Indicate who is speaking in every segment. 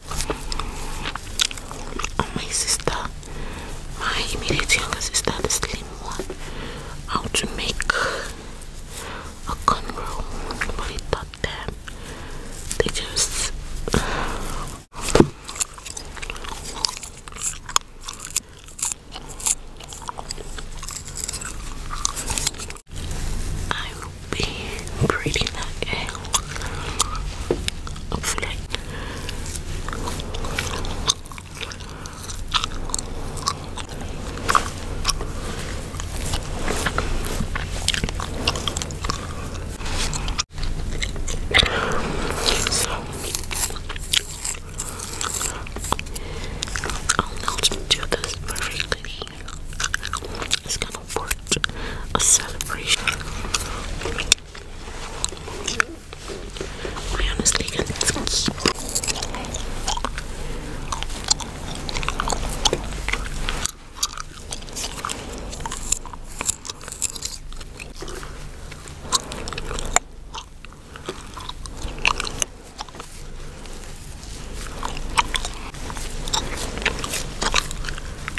Speaker 1: Oh my sister, my immediate younger sister, is slim one, how to make a cornrow, but it taught them. They just be pretty like a I'll not do this perfectly. It's gonna celebrate a celebration. I honestly can't keep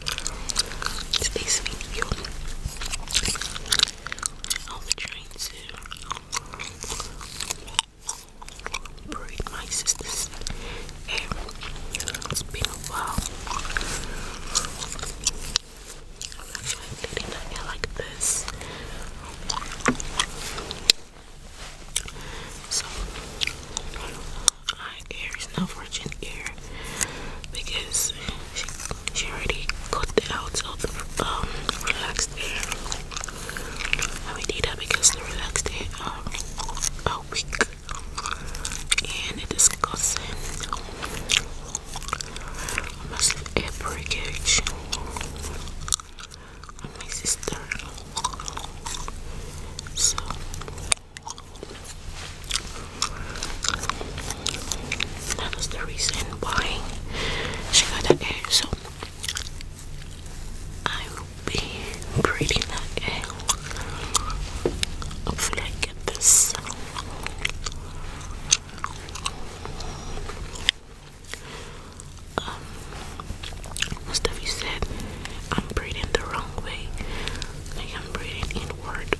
Speaker 1: Stay sweet, you. It's been a while. I'm actually bleeding her like this. So, I not Aries, no virgin air because she, she already got the out of the um, relaxed air. I we need that because the relaxed air um, are weak and it is causing um, a massive air breakage on my sister. So that was the reason why she got that egg. So I will be breeding that egg. Hopefully, I get this. Um, most of you I'm breathing the wrong way. I'm breathing inward.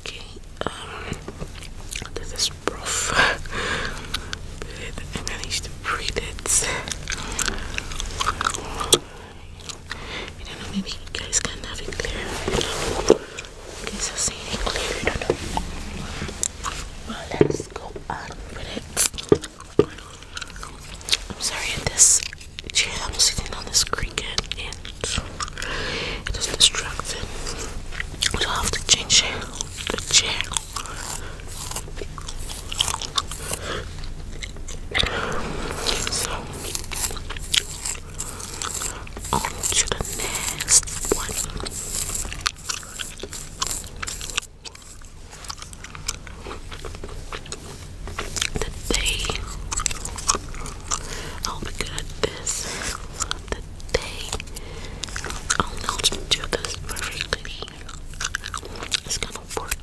Speaker 1: Okay, um, this is rough, but I managed to breathe it. I don't know, maybe you guys can have it clear. You guys are it clear, Well, let's go on I'm sorry at this jam I'm sitting on this cricket and it is distracting. I will have to change the chair. So on to the next one day I'll be good at this. The day I'll know to do this perfectly. It's gonna work.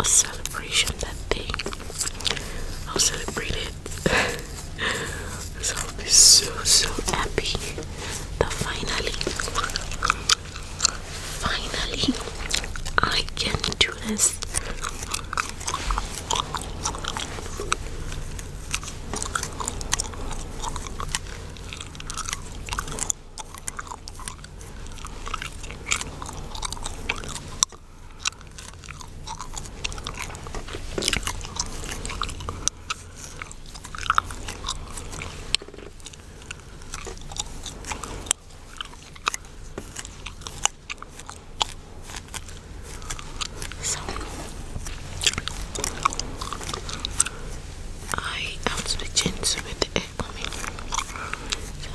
Speaker 1: A celebration that day. I'll celebrate it. so I'll be so so happy that finally Finally, I can do this. So I am switching with the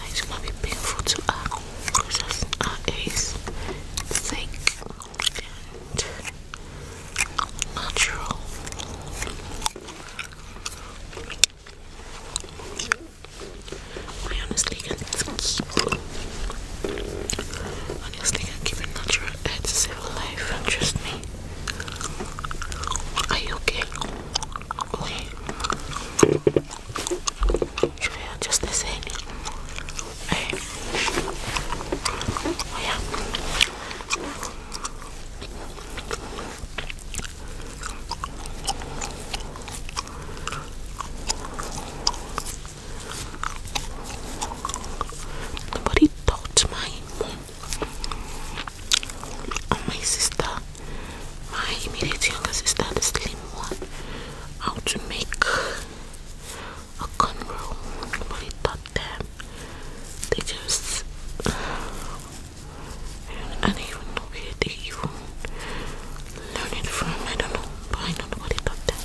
Speaker 1: it's gonna be painful to her because her is thick and natural. I honestly can keep honestly can keep a natural head to save life, trust me. Are you okay? okay. Should I just the same? Hey. Oh, yeah. Nobody touched my oh, my sister, my immediate younger sister, the slim one, how to make a cornrow. Nobody taught them. They just and even okay they even learn it from I don't know but I don't know what taught them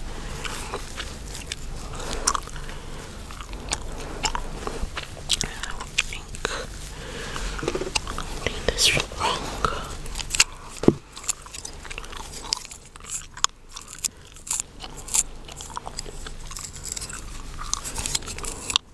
Speaker 1: I would think I'm wrong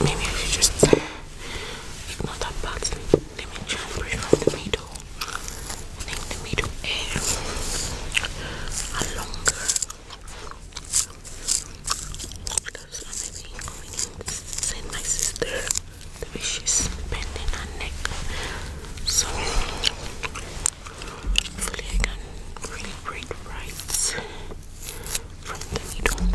Speaker 1: Maybe I should just ignore that part. Let me try and brush the middle. I the middle hair are longer. That's why maybe we send my sister the way bending her neck. So Hopefully I really read right from the needle.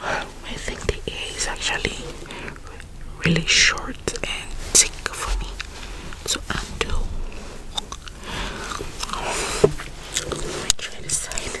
Speaker 1: I think the A is actually really short and thick for me, so I'm too. Let me try this side.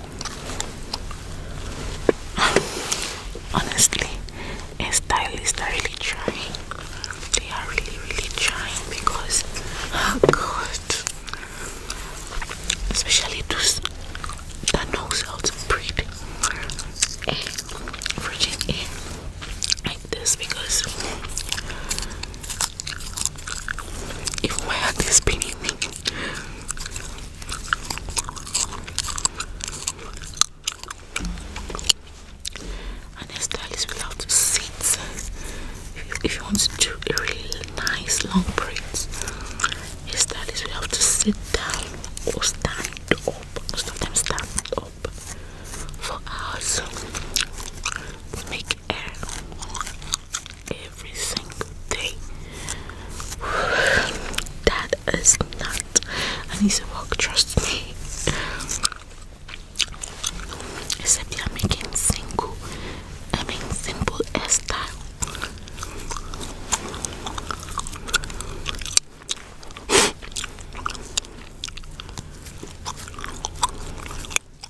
Speaker 1: Honestly, a stylist are really trying. They are really, really trying because, oh god, especially those that knows how to breed a virgin in like this because if my heart is spinning me and this style is without seats. If you want to do a really nice long braids, this style is without to sit down or stand up. Most of them stand up for hours to make hair. A every single day. That is not an easy walk. trust me. Except you making single, I simple hairstyle.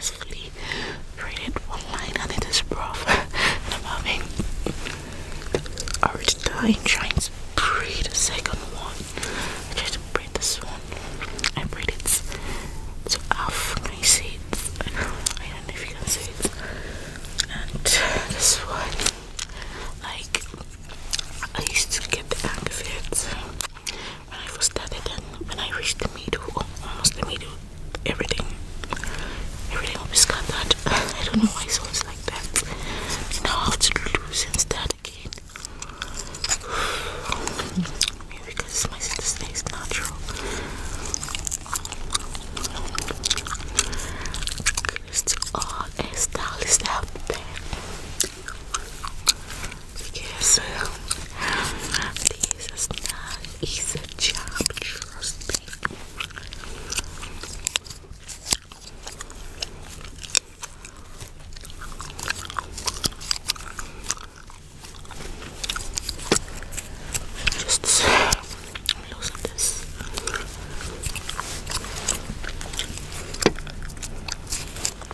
Speaker 1: successfully created one line and it is rough I'm having a rich time trying to braid the second one. I tried this one. I braid it half. Can you see I don't know if you can see it. And this one, like I used to get the of it when I first started and when I reached the middle, almost the middle, everything, everything will scattered. I don't know why it's always like that. Now I have to lose and start again. Maybe because my sister is natural. Just all uh, hairstylists out there because um, this is not easy job, trust me. Just loosen this.